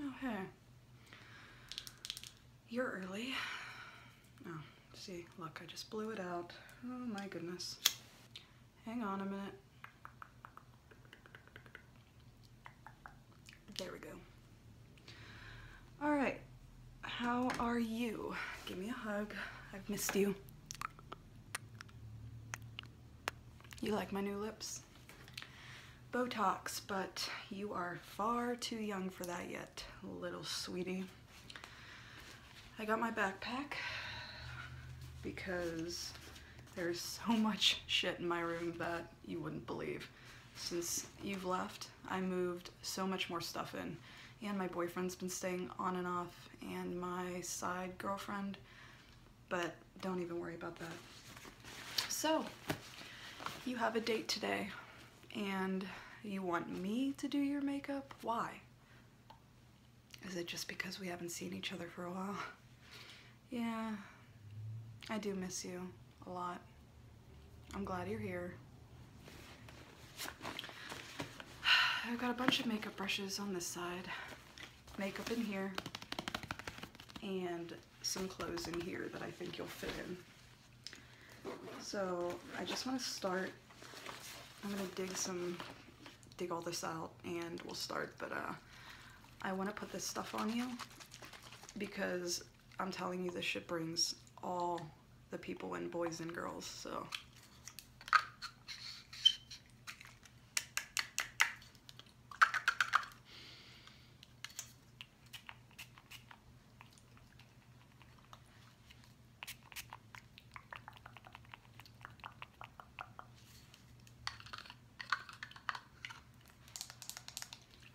Oh, hey. You're early. Oh, see, look, I just blew it out. Oh my goodness. Hang on a minute. There we go. All right, how are you? Give me a hug. I've missed you. You like my new lips? Botox, but you are far too young for that yet, little sweetie. I got my backpack because there's so much shit in my room that you wouldn't believe. Since you've left, I moved so much more stuff in. And my boyfriend's been staying on and off, and my side girlfriend, but don't even worry about that. So, you have a date today, and you want me to do your makeup? Why? Is it just because we haven't seen each other for a while? Yeah, I do miss you a lot. I'm glad you're here. I've got a bunch of makeup brushes on this side. Makeup in here. And some clothes in here that I think you'll fit in. So I just want to start. I'm going to dig some, dig all this out and we'll start, but uh, I want to put this stuff on you because I'm telling you this shit brings all the people and boys and girls so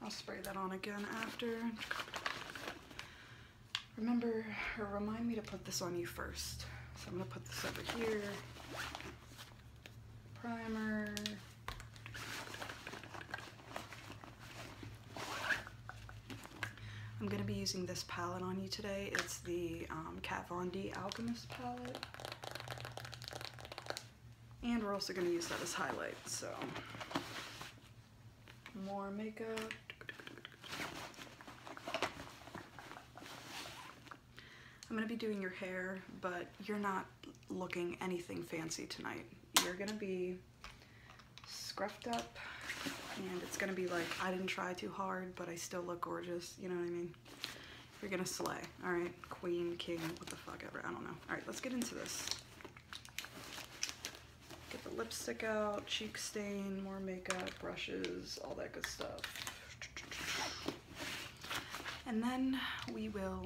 I'll spray that on again after. Remember, remind me to put this on you first. So I'm gonna put this over here. Primer. I'm gonna be using this palette on you today. It's the um, Kat Von D Alchemist palette. And we're also gonna use that as highlight, so. More makeup. I'm gonna be doing your hair, but you're not looking anything fancy tonight. You're gonna be scruffed up and it's gonna be like, I didn't try too hard, but I still look gorgeous, you know what I mean? we are gonna slay. All right, queen, king, what the fuck ever, I don't know. All right, let's get into this. Get the lipstick out, cheek stain, more makeup, brushes, all that good stuff. And then we will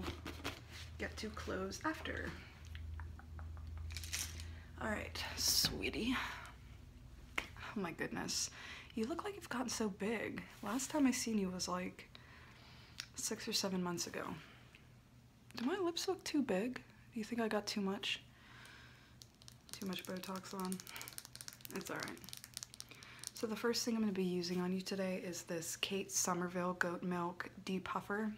get to close after. All right, sweetie. Oh my goodness. You look like you've gotten so big. Last time I seen you was like six or seven months ago. Do my lips look too big? Do you think I got too much? Too much Botox on? It's alright. So the first thing I'm going to be using on you today is this Kate Somerville Goat Milk Depuffer.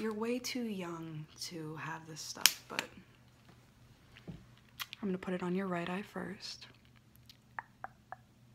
You're way too young to have this stuff, but I'm going to put it on your right eye first.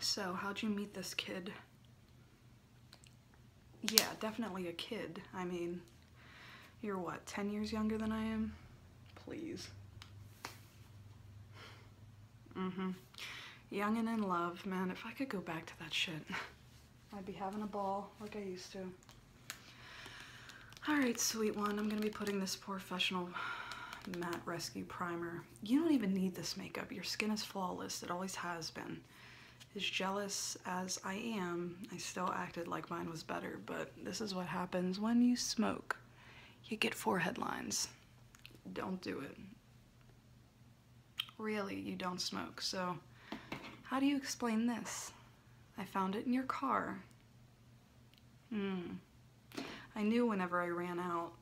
So, how'd you meet this kid? Yeah, definitely a kid. I mean, you're what, 10 years younger than I am? Please. Mm-hmm. Young and in love, man. If I could go back to that shit, I'd be having a ball like I used to. Alright, sweet one. I'm gonna be putting this portion Professional Matte Rescue Primer. You don't even need this makeup. Your skin is flawless. It always has been. As jealous as I am, I still acted like mine was better, but this is what happens when you smoke. You get four headlines. Don't do it. Really, you don't smoke, so how do you explain this? I found it in your car. Hmm. I knew whenever I ran out,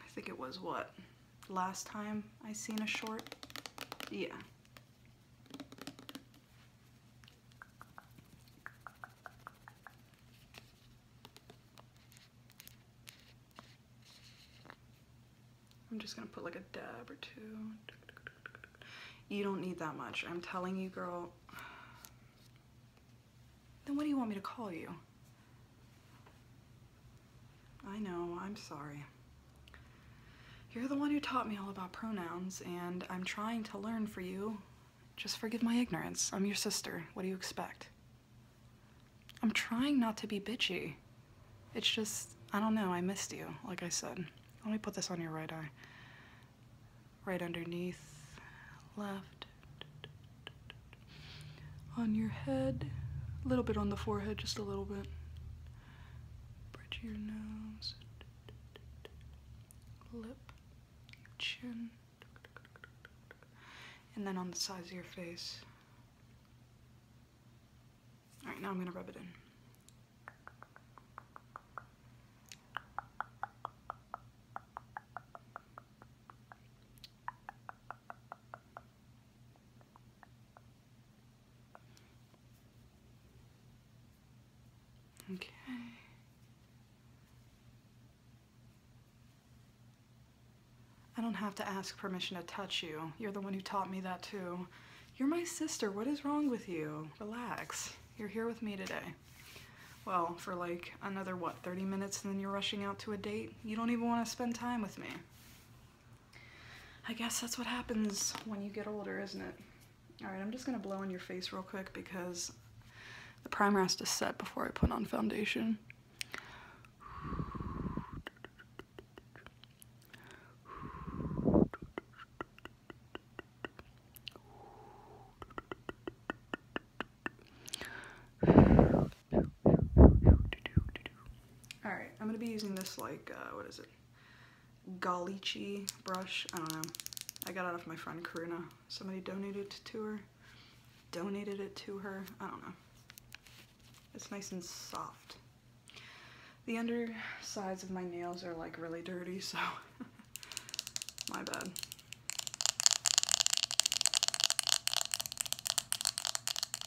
I think it was what, last time I seen a short? Yeah. I'm just gonna put like a dab or two. You don't need that much. I'm telling you, girl. Then what do you want me to call you? I know, I'm sorry. You're the one who taught me all about pronouns, and I'm trying to learn for you. Just forgive my ignorance. I'm your sister. What do you expect? I'm trying not to be bitchy. It's just, I don't know, I missed you, like I said. Let me put this on your right eye right underneath, left, on your head, a little bit on the forehead, just a little bit, bridge your nose, lip, chin, and then on the sides of your face. All right, now I'm gonna rub it in. Okay. I don't have to ask permission to touch you. You're the one who taught me that too. You're my sister. What is wrong with you? Relax. You're here with me today. Well, for like another, what, 30 minutes and then you're rushing out to a date? You don't even want to spend time with me. I guess that's what happens when you get older, isn't it? All right, I'm just gonna blow in your face real quick because the primer has to set before I put on foundation. Alright, I'm gonna be using this like, uh, what is it? Galichi brush. I don't know. I got it off my friend Karuna. Somebody donated it to her. Donated it to her. I don't know. It's nice and soft. The undersides of my nails are like really dirty, so My bad.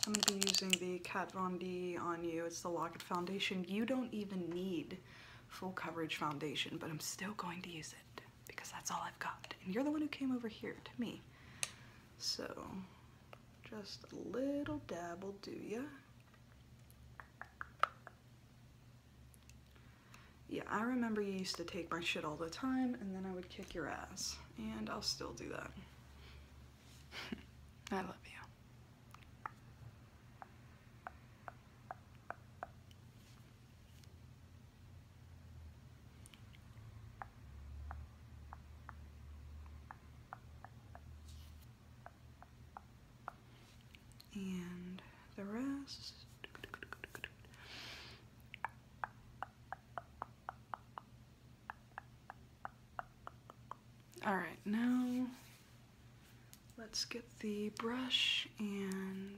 I'm going to be using the Kat Von D On You. It's the Locket Foundation. You don't even need full coverage foundation, but I'm still going to use it because that's all I've got. And you're the one who came over here to me. So, just a little dab will do ya. Yeah, I remember you used to take my shit all the time and then I would kick your ass. And I'll still do that. I love you. And the rest all right, now let's get the brush and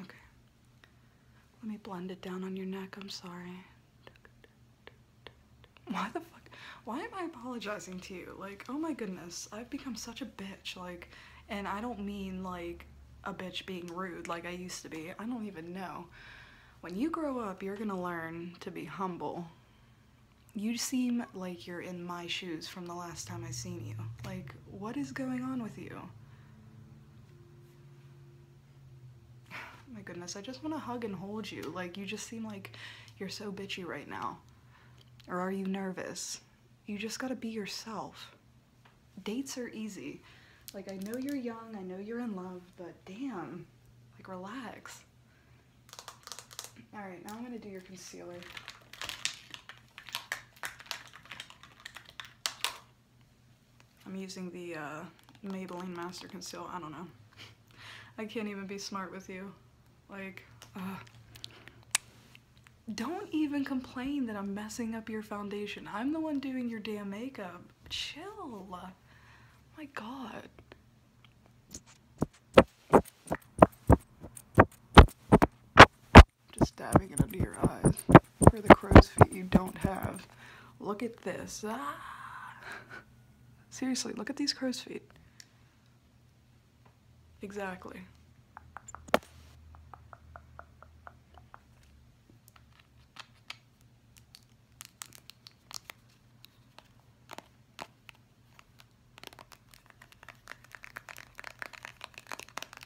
Okay. Let me blend it down on your neck. I'm sorry. Why the fuck? Why am I apologizing to you? Like, oh my goodness, I've become such a bitch. Like, and I don't mean like a bitch being rude like I used to be. I don't even know. When you grow up, you're gonna learn to be humble. You seem like you're in my shoes from the last time I seen you. Like, what is going on with you? my goodness, I just want to hug and hold you. Like, you just seem like you're so bitchy right now. Or are you nervous? You just gotta be yourself. Dates are easy. Like, I know you're young, I know you're in love, but damn, like, relax. All right, now I'm gonna do your concealer. I'm using the uh, Maybelline Master Conceal. I don't know. I can't even be smart with you. Like, uh, don't even complain that I'm messing up your foundation. I'm the one doing your damn makeup. Chill. My god. Just dabbing it under your eyes. For the crow's feet you don't have. Look at this. Ah. Seriously, look at these crow's feet. Exactly.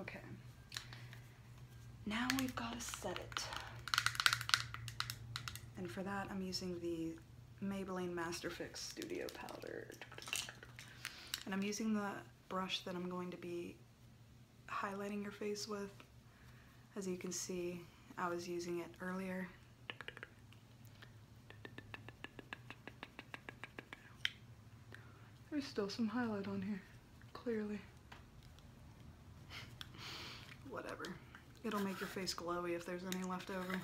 Okay. Now we've got to set it. And for that, I'm using the Maybelline Masterfix Studio Powder. And I'm using the brush that I'm going to be highlighting your face with. As you can see, I was using it earlier. There's still some highlight on here, clearly. Whatever. It'll make your face glowy if there's any left over.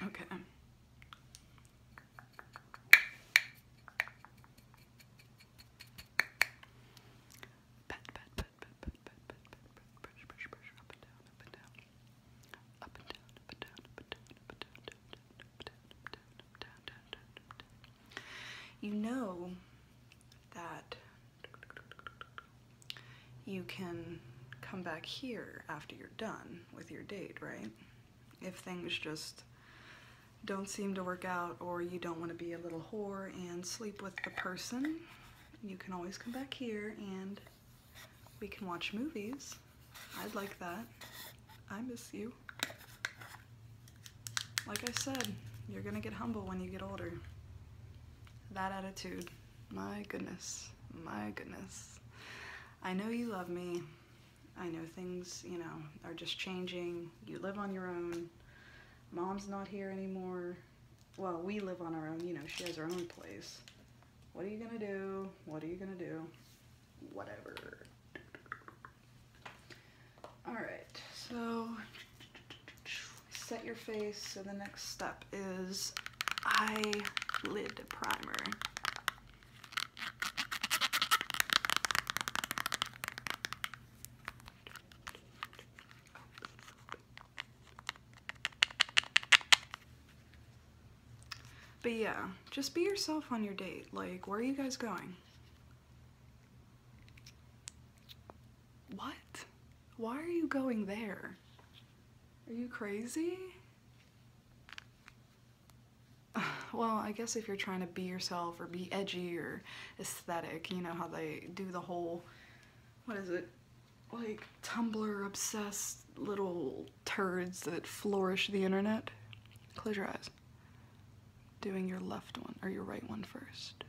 Okay. You know that you can come back here after you're done with your date, right? If things just don't seem to work out or you don't want to be a little whore and sleep with the person, you can always come back here and we can watch movies. I'd like that. I miss you. Like I said, you're gonna get humble when you get older. That attitude, my goodness, my goodness. I know you love me. I know things, you know, are just changing. You live on your own. Mom's not here anymore. Well, we live on our own. You know, she has her own place. What are you going to do? What are you going to do? Whatever. All right, so set your face. So the next step is eyelid primer. But yeah, just be yourself on your date. Like, where are you guys going? What? Why are you going there? Are you crazy? Well, I guess if you're trying to be yourself or be edgy or aesthetic, you know how they do the whole, what is it, like Tumblr obsessed little turds that flourish the internet. Close your eyes. Doing your left one or your right one first.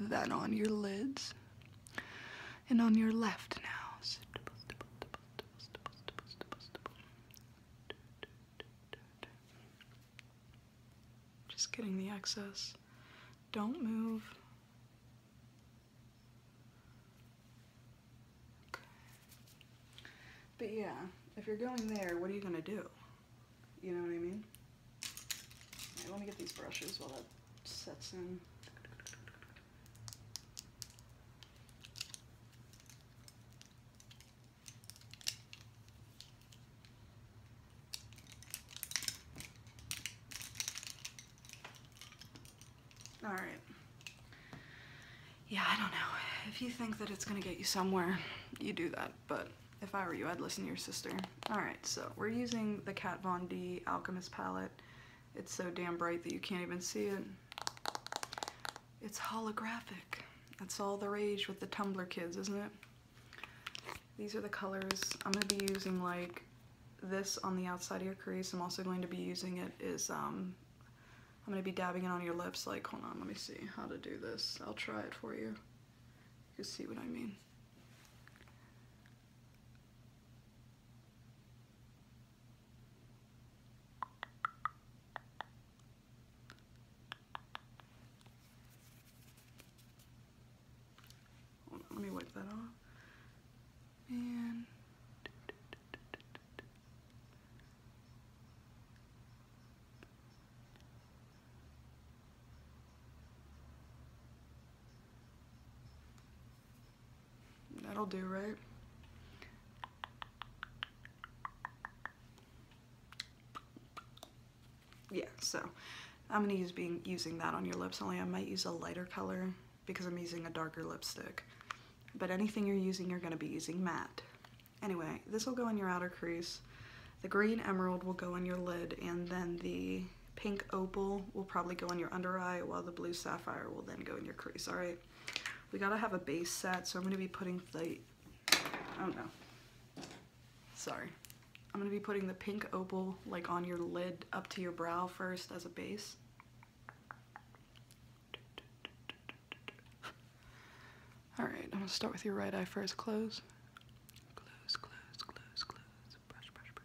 That on your lids and on your left now. Just getting the excess. Don't move. But yeah, if you're going there, what are you going to do? You know what I mean? let me get these brushes while that sets in. All right. Yeah, I don't know. If you think that it's gonna get you somewhere, you do that. But if I were you, I'd listen to your sister. All right, so we're using the Kat Von D Alchemist palette. It's so damn bright that you can't even see it. It's holographic. That's all the rage with the Tumblr kids, isn't it? These are the colors. I'm going to be using like this on the outside of your crease. I'm also going to be using it is um, I'm gonna be dabbing it on your lips. Like, hold on, let me see how to do this. I'll try it for you. You see what I mean. let me wipe that off. And That'll do, right? Yeah, so I'm gonna use being using that on your lips, only I might use a lighter color because I'm using a darker lipstick but anything you're using, you're gonna be using matte. Anyway, this will go in your outer crease. The green emerald will go in your lid, and then the pink opal will probably go in your under eye, while the blue sapphire will then go in your crease, all right? We gotta have a base set, so I'm gonna be putting the, oh no, sorry. I'm gonna be putting the pink opal like on your lid up to your brow first as a base. Alright, I'm gonna start with your right eye first. Close. Close, close, close, close. Brush, brush, brush.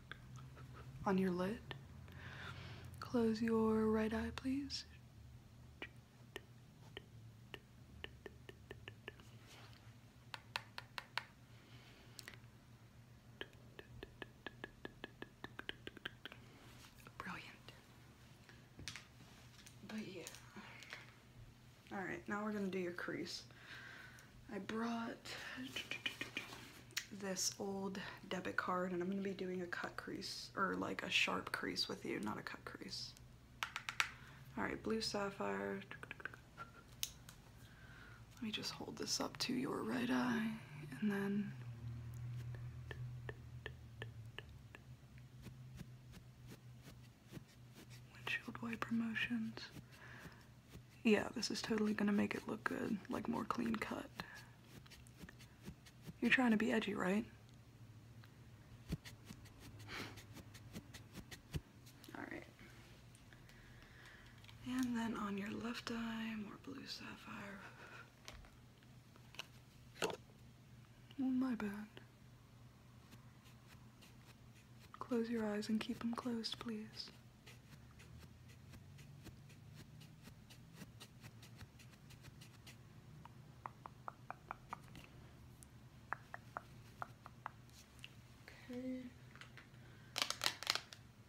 on your lid. Close your right eye, please. Brilliant. But yeah. Alright, now we're going to do your crease. I brought this old debit card and I'm going to be doing a cut crease or like a sharp crease with you, not a cut crease. All right, blue sapphire. Let me just hold this up to your right eye and then windshield wiper motions. Yeah, this is totally going to make it look good, like more clean cut. You're trying to be edgy, right? Alright. And then on your left eye, more blue sapphire. Well, my bad. Close your eyes and keep them closed, please. Okay.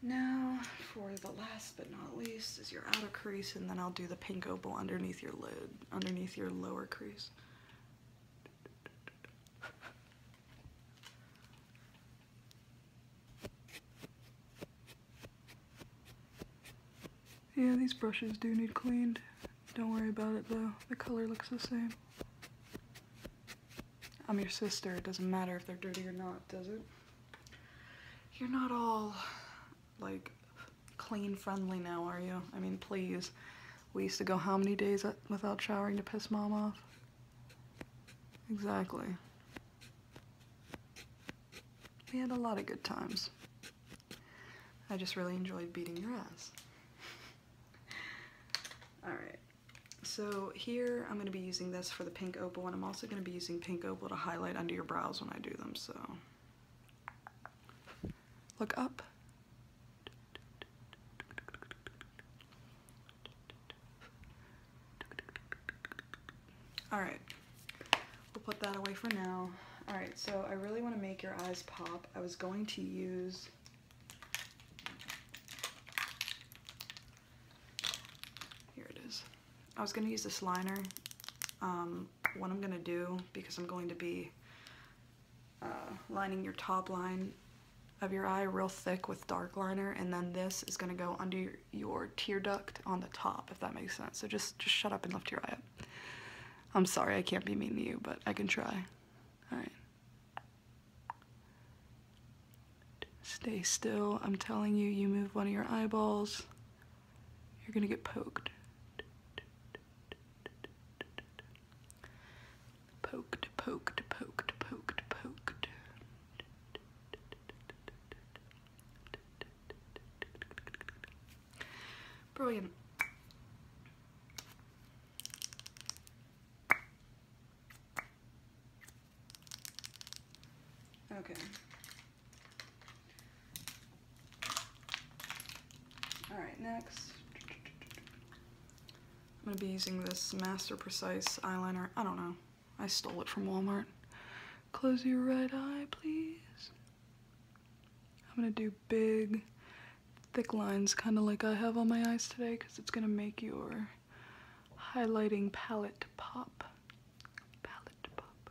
Now, for the last but not least, is your outer crease, and then I'll do the pink opal underneath your lid, underneath your lower crease. Yeah, these brushes do need cleaned. Don't worry about it though, the color looks the same. I'm your sister, it doesn't matter if they're dirty or not, does it? You're not all, like, clean friendly now, are you? I mean, please. We used to go how many days without showering to piss mom off? Exactly. We had a lot of good times. I just really enjoyed beating your ass. Alright, so here I'm going to be using this for the pink opal, and I'm also going to be using pink opal to highlight under your brows when I do them, so... Look up. All right, we'll put that away for now. All right, so I really wanna make your eyes pop. I was going to use here it is. I was gonna use this liner. Um, what I'm gonna do, because I'm going to be uh, lining your top line of your eye real thick with dark liner, and then this is gonna go under your, your tear duct on the top, if that makes sense. So just just shut up and lift your eye up. I'm sorry I can't be mean to you, but I can try. Alright. Stay still. I'm telling you, you move one of your eyeballs, you're gonna get poked. Poked, poked, poked, poked, poked. Brilliant. Okay. All right, next. I'm gonna be using this Master Precise eyeliner. I don't know. I stole it from Walmart. Close your right eye, please. I'm gonna do big, thick lines, kind of like I have on my eyes today, because it's gonna make your highlighting palette pop. Palette pop,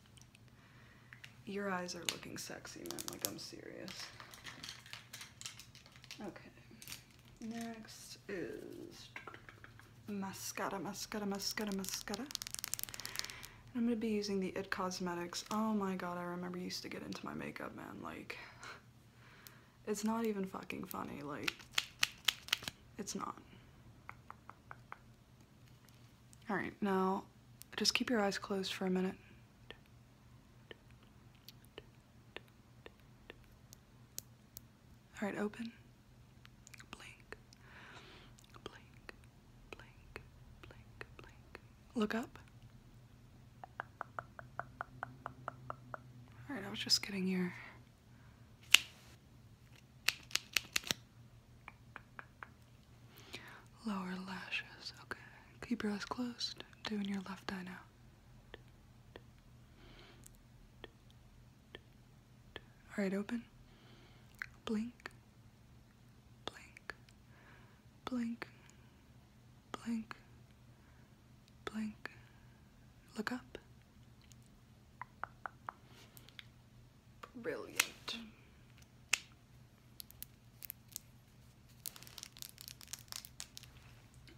Your eyes are looking sexy, man. Like, I'm serious. Okay. Next is mascara, mascara, mascara, mascara. I'm going to be using the IT Cosmetics. Oh my god, I remember used to get into my makeup, man. Like, it's not even fucking funny. Like, it's not. All right, now just keep your eyes closed for a minute. All right, open. Blink. Blink. Blink. Blink. Blink. Look up. All right, I was just getting here. Lower lashes, okay. Keep your eyes closed. Doing your left eye now. Alright, open. Blink. Blink. Blink. Blink. Blink. Look up. Brilliant.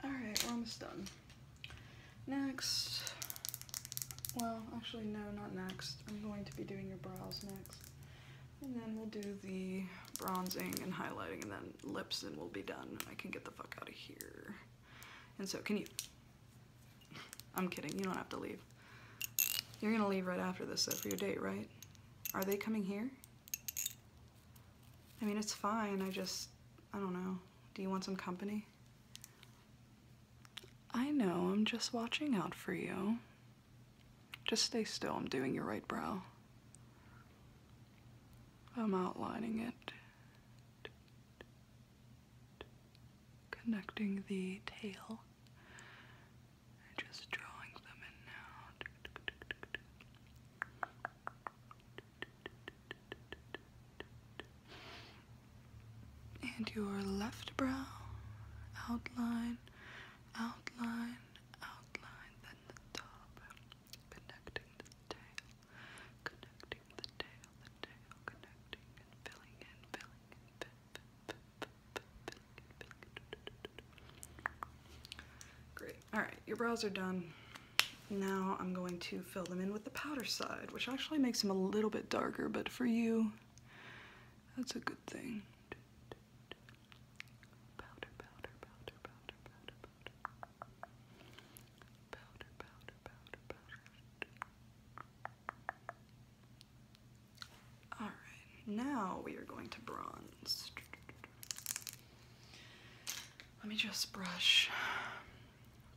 Alright, we're almost done. Next, well, actually no, not next. I'm going to be doing your brows next. And then we'll do the bronzing and highlighting and then lips and we'll be done. I can get the fuck out of here. And so can you. I'm kidding, you don't have to leave. You're gonna leave right after this so for your date, right? Are they coming here? I mean, it's fine, I just, I don't know. Do you want some company? I know, I'm just watching out for you. Just stay still, I'm doing your right brow. I'm outlining it. Connecting the tail just drawing them in now. And your left brow, outline, outline, outline, then the top, connecting the tail, connecting the tail, the tail, connecting and filling in, filling in, Great. All right, your brows are done. Now I'm going to fill them in with the powder side, which actually makes them a little bit darker, but for you, that's a good thing. All right, now we are going to bronze. Let me just brush.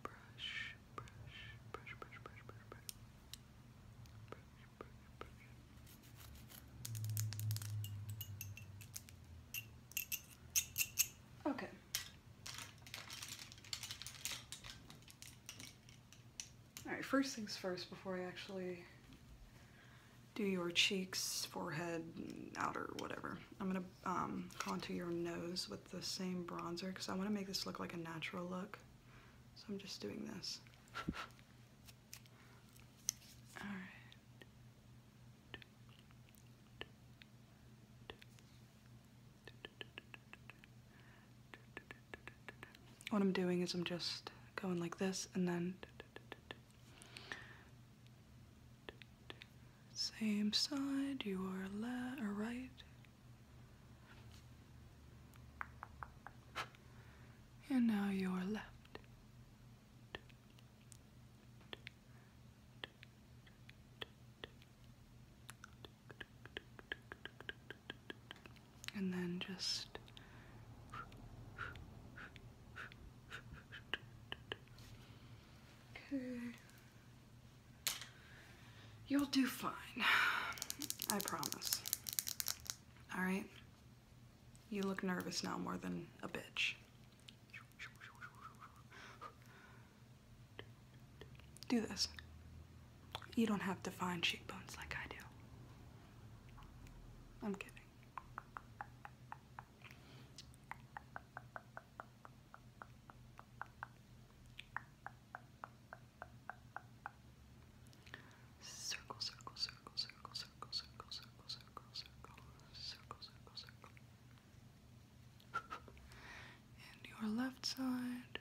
brush. Okay. All right, first things first, before I actually do your cheeks, forehead, outer, whatever. I'm gonna um, contour your nose with the same bronzer because I wanna make this look like a natural look. So I'm just doing this. All right. What I'm doing is I'm just going like this and then same side, you are left or uh, right. And now you are left and then just okay. You'll do fine. I promise. All right. You look nervous now more than a bitch. Do this. You don't have to find cheekbones like I do. I'm kidding. Circle, circle, circle, circle, circle, circle, circle, circle, circle, circle, circle, circle. And your left side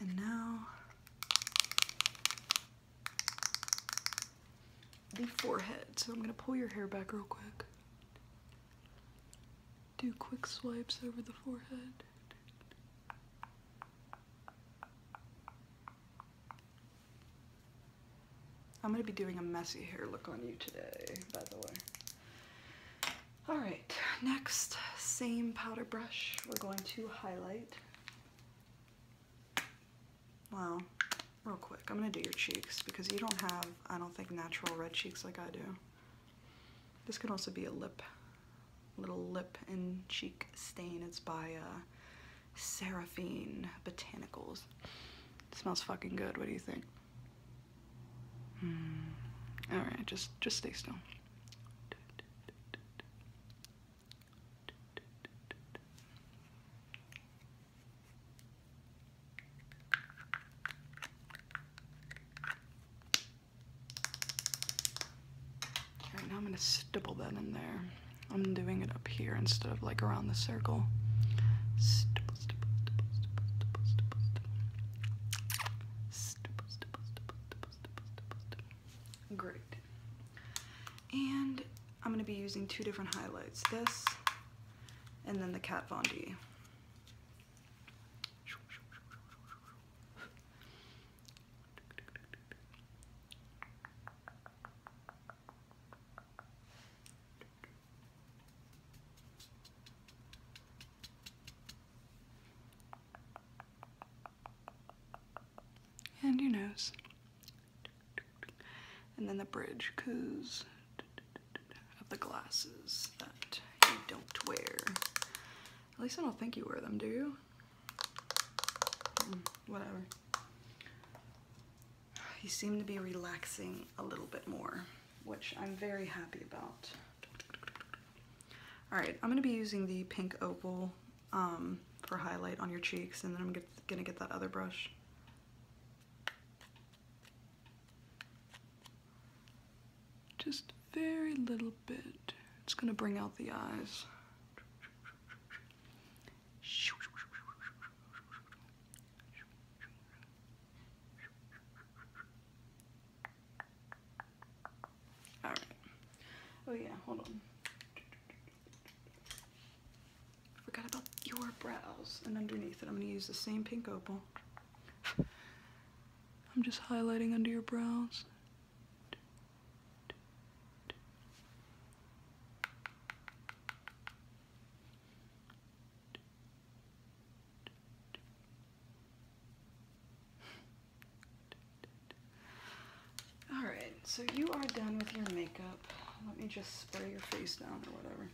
And now the forehead. So I'm gonna pull your hair back real quick. Do quick swipes over the forehead. I'm gonna be doing a messy hair look on you today, by the way. All right, next, same powder brush, we're going to highlight. Well, real quick, I'm gonna do your cheeks because you don't have, I don't think, natural red cheeks like I do. This can also be a lip, little lip and cheek stain. It's by uh, Seraphine Botanicals. smells fucking good, what do you think? Hmm. All right, just, just stay still now I'm going to stipple that in there. I'm doing it up here instead of like around the circle. stipple, stipple, stipple, stipple, stipple, stipple, stipple, stipple, stipple, stipple, Great. And I'm going to be using two different highlights. This and then the Kat Von D and your nose, and then the bridge because of the glasses that you don't wear. At least I don't think you wear them, do you? Hmm, whatever. You seem to be relaxing a little bit more, which I'm very happy about. All right, I'm gonna be using the pink opal um, for highlight on your cheeks and then I'm gonna get that other brush. Just very little bit. It's gonna bring out the eyes. Oh yeah, hold on. Forgot about your brows. And underneath it, I'm going to use the same pink opal. I'm just highlighting under your brows. All right, so you are done with your makeup. Let me just spray your face down or whatever.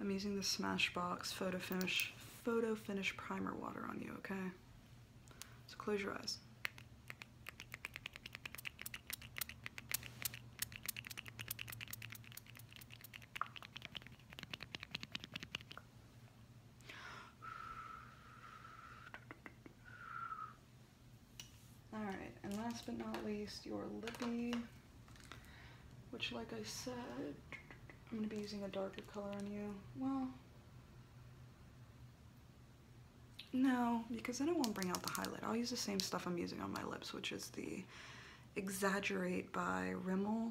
I'm using the Smashbox Photo Finish Photo Finish Primer Water on you, okay? So close your eyes. All right, and last but not least, your lippy, which like I said, I'm gonna be using a darker color on you. Well, no, because then it won't bring out the highlight. I'll use the same stuff I'm using on my lips, which is the Exaggerate by Rimmel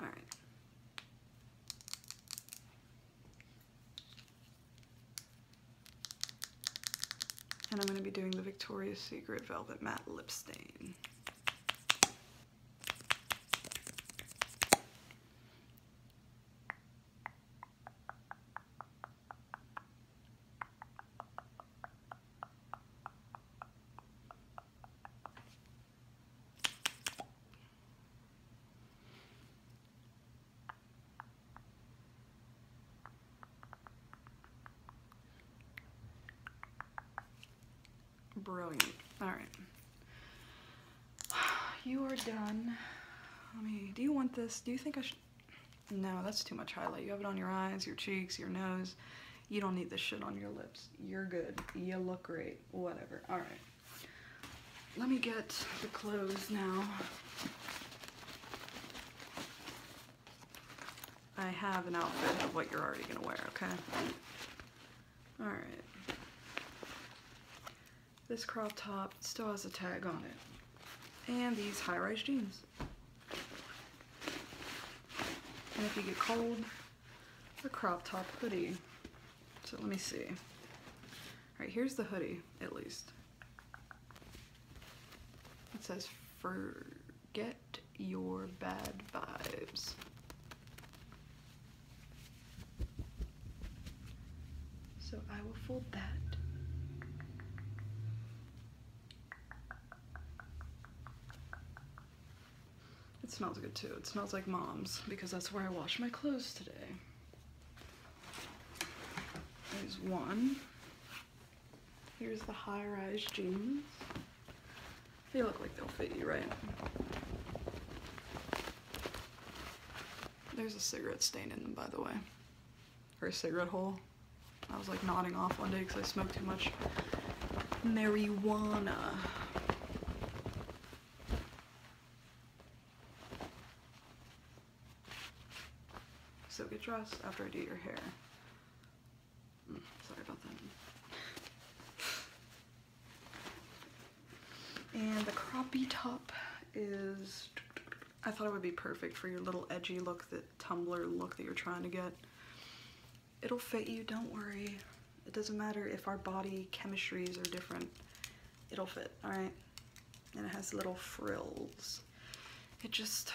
All right. And I'm going to be doing the Victoria's Secret Velvet Matte Lip Stain. Brilliant. All right. You are done. Let me, do you want this? Do you think I should? No, that's too much highlight. You have it on your eyes, your cheeks, your nose. You don't need this shit on your lips. You're good. You look great. Whatever. All right. Let me get the clothes now. I have an outfit of what you're already going to wear, okay? All right. This crop top still has a tag on it. And these high-rise jeans. And if you get cold, a crop top hoodie. So let me see. All right, here's the hoodie, at least. It says, forget your bad vibes. So I will fold that. It smells good too. It smells like mom's because that's where I wash my clothes today. There's one. Here's the high-rise jeans. They look like they'll fit you, right? There's a cigarette stain in them, by the way. Or a cigarette hole. I was like nodding off one day because I smoked too much marijuana. So get dressed after I do your hair. Mm, sorry about that. And the croppy top is, I thought it would be perfect for your little edgy look, that Tumblr look that you're trying to get. It'll fit you, don't worry. It doesn't matter if our body chemistries are different. It'll fit, alright? And it has little frills. It just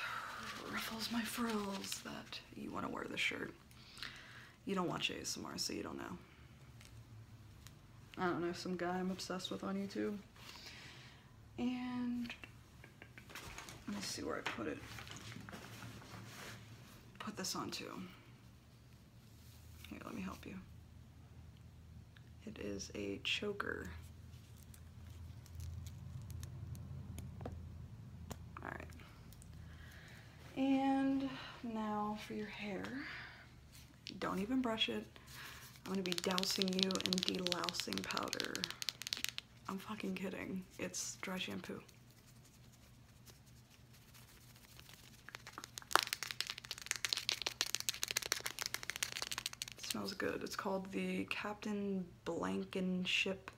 ruffles my frills that you want to wear this shirt. You don't watch ASMR, so you don't know. I don't know, some guy I'm obsessed with on YouTube. And let me see where I put it put this on too. Here, let me help you. It is a choker. All right. And now for your hair. Don't even brush it. I'm gonna be dousing you in delousing powder. I'm fucking kidding. It's dry shampoo smells good. It's called the Captain Blankenship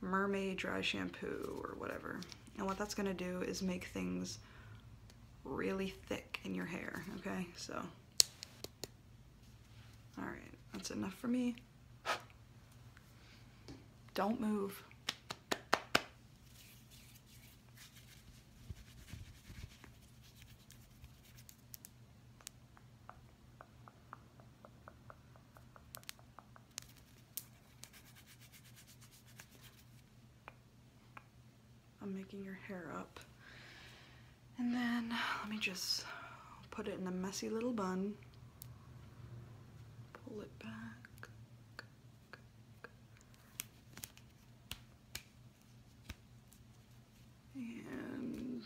Mermaid Dry Shampoo or whatever. And what that's gonna do is make things really thick in your hair, okay? So, all right, that's enough for me. Don't move. I'm making your hair up. And then let me just put it in a messy little bun pull it back. And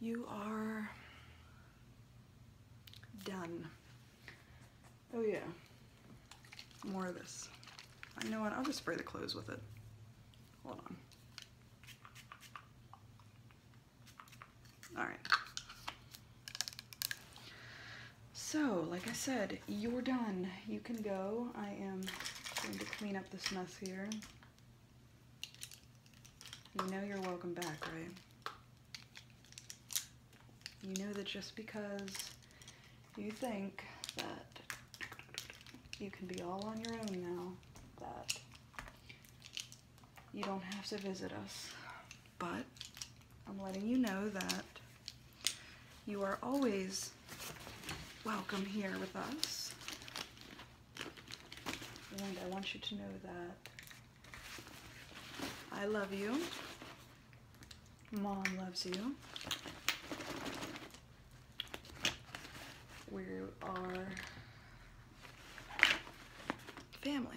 you are done. Oh yeah, more of this. I know what, I'll just spray the clothes with it. Hold on. All right. So, like I said, you're done. You can go. I am going to clean up this mess here. You know you're welcome back, right? You know that just because you think that you can be all on your own now, that you don't have to visit us. But I'm letting you know that you are always welcome here with us. And I want you to know that I love you. Mom loves you. We are family.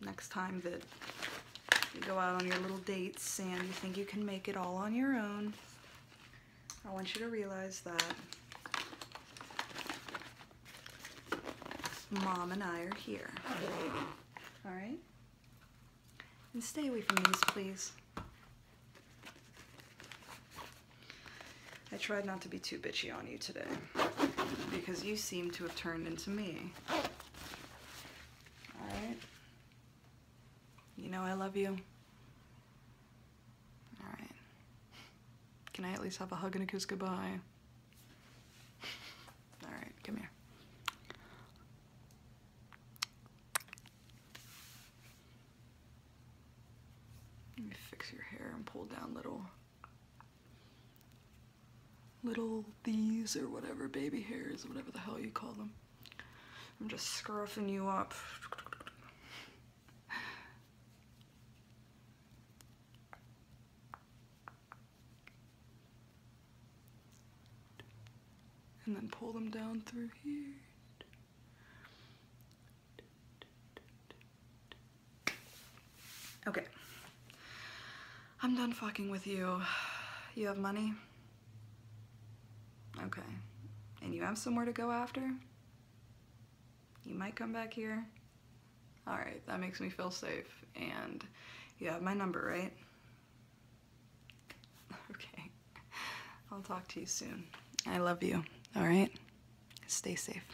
next time that you go out on your little dates and you think you can make it all on your own. I want you to realize that mom and I are here. All right? And stay away from these, please. I tried not to be too bitchy on you today because you seem to have turned into me. All right. You know I love you. All right. Can I at least have a hug and a kiss goodbye? All right, come here. Let me fix your hair and pull down little little these or whatever, baby hairs, or whatever the hell you call them. I'm just scruffing you up. And then pull them down through here. Okay. I'm done fucking with you. You have money? Okay. And you have somewhere to go after? You might come back here? Alright, that makes me feel safe. And you have my number, right? Okay. I'll talk to you soon. I love you, alright? Stay safe.